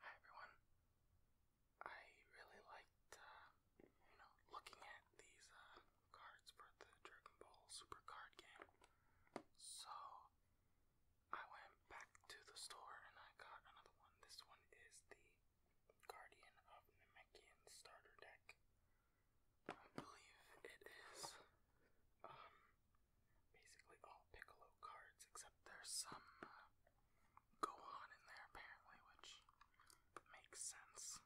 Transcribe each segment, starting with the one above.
Hi everyone. I really liked, uh, you know, looking at these uh, cards for the Dragon Ball Super Card game. So I went back to the store and I got another one. This one is the Guardian of Namekian starter deck. I believe it is um basically all Piccolo cards, except there's some uh, Gohan in there apparently, which makes sense.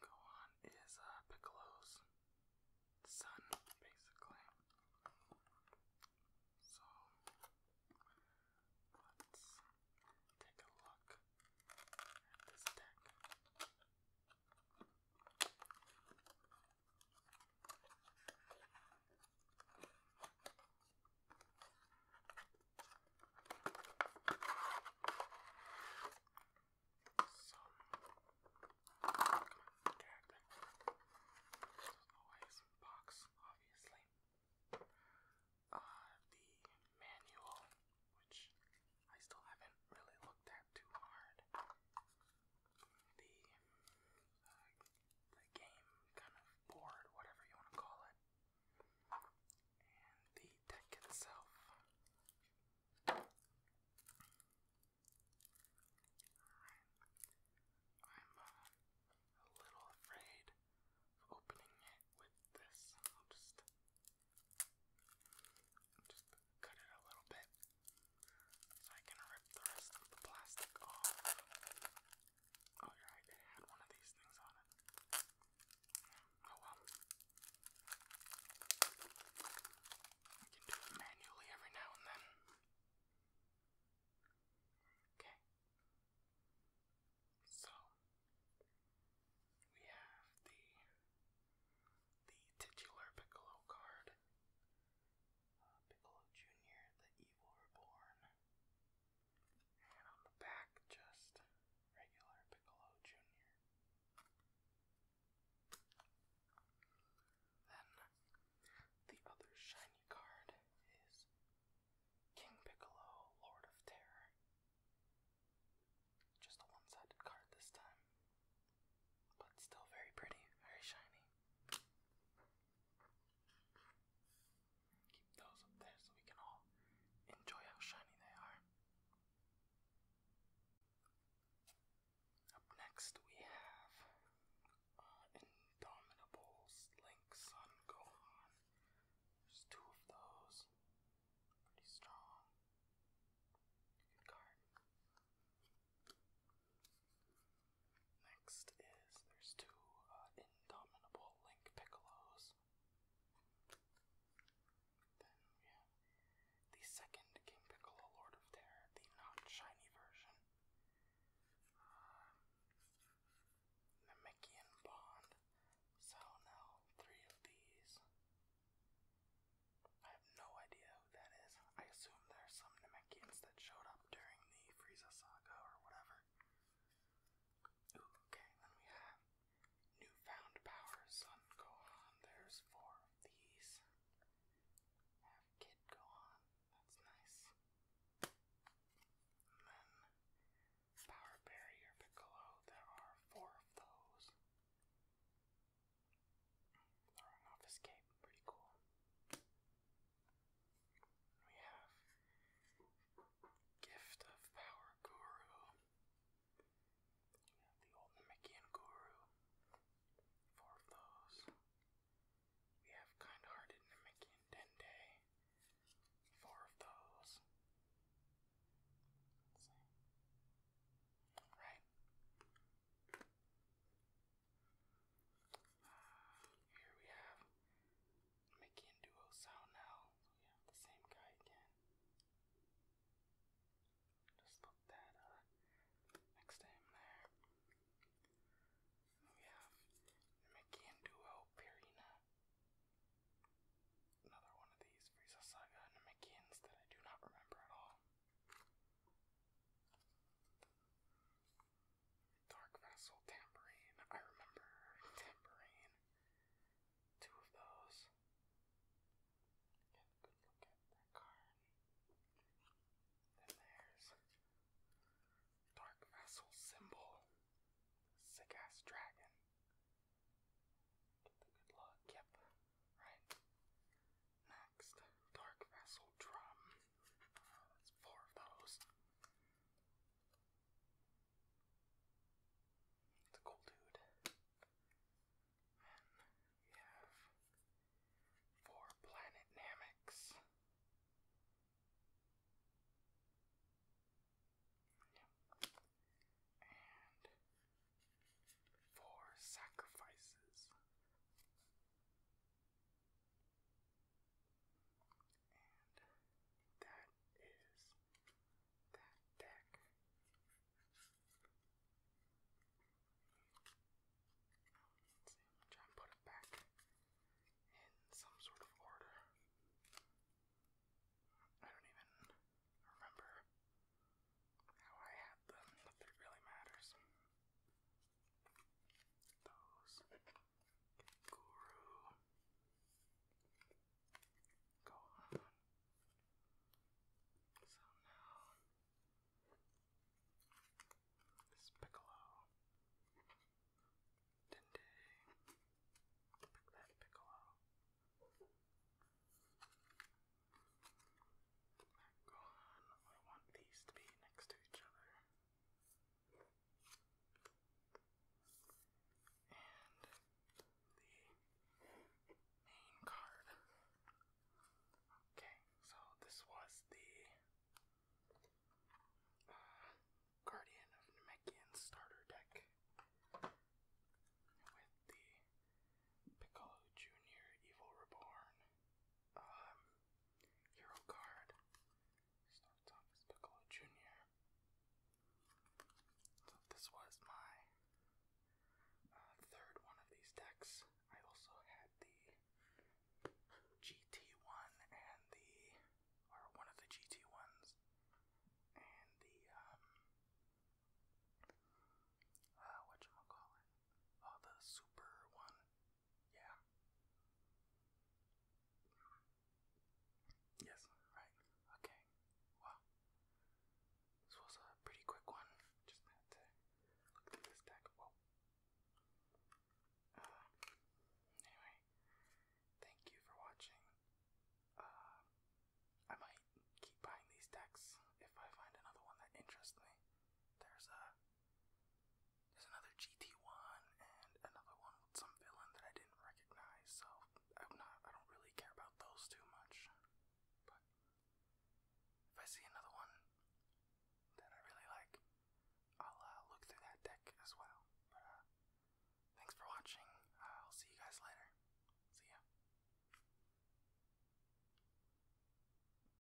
Gohan is uh, Piccolo's son, basically. So let's take a look at this deck. Some character. box, obviously. Uh, the manual, which I still haven't really looked at too hard. The the game kind of board, whatever you want to call it, and the deck itself. I'm uh, a little afraid of opening it with this. I'll just cut it a little bit. So I can rip the rest of the plastic off. Oh, you right, it had one of these things on it. Oh well. I can do it manually every now and then. Okay. So we have the the titular piccolo card uh, Piccolo Jr., The Evil Reborn. And on the back, just regular Piccolo Jr. Then the other shiny card is King Piccolo, Lord of Terror. Just a one sided card this time, but still very pretty, very shiny. Keep those up there so we can all enjoy how shiny they are. Up next, we have uh, Indomitable Link Sun Gohan. There's two of those. Pretty strong. Good card. Next is there's two uh, Indomitable Link Piccolos. Then we have the second King Piccolo Lord of Terror, the not shiny version. Uh, Namekian Bond. So now three of these. I have no idea that is. I assume there some Namekians that showed up during the Frieza saga or whatever. okay, then we have newfound power, Sun Gohan. There's four of these. Kid Gohan. That's nice. then Power Barrier Piccolo. There are four of those throwing off his cape. Pretty cool. We have Gift of Power Guru. We have the old Namekian Guru. Four of those. We have Kind Hearted Namekian Dende. Four of those. let uh, here we have Mickey and we have the same guy again. Just put that uh, next to him there. We have Mickey Pirina. Another one of these Frieza Saga Namekians that I do not remember at all. Dark Vessel Tambourine. I remember Tambourine. Two of those. Get a good look at Then there's Dark Vessel Symbol. Sick ass dragon. Get the good luck. Yep. Right. Next, Dark Vessel Drum. that's four of those. It's a cool dude. we have four Planet Namics. And four sacrifices. And that is that deck. Let's put it back in some sort of order. I don't even remember how I had them, but it really matters. Those. Guru. Go on. So Piccolo. Dende. Piccolo. They're I want these to be next to each other. And the main card. Okay, so this was the Guardian of Namekian starter deck with the Piccolo Jr. Evil Reborn. Um, Hero card. Starts off as Piccolo Jr. So this was my uh, third one of these decks. I also had the GT one and the or one of the GT ones and the um uh whatchamacallit? Oh the super one yeah. Yes, right. Okay. Well, this was a pretty quick one. Just had to look through this deck. Whoa. Uh, anyway, thank you for watching. Uh, I might keep buying these decks if I find another one that interests me. There's a there's another GT1 and another one with some villain that I didn't recognize, so I'm not, I don't really care about those too much. But if I see another one that I really like, I'll uh, look through that deck as well. Uh, thanks for watching. I'll see you guys later. See ya.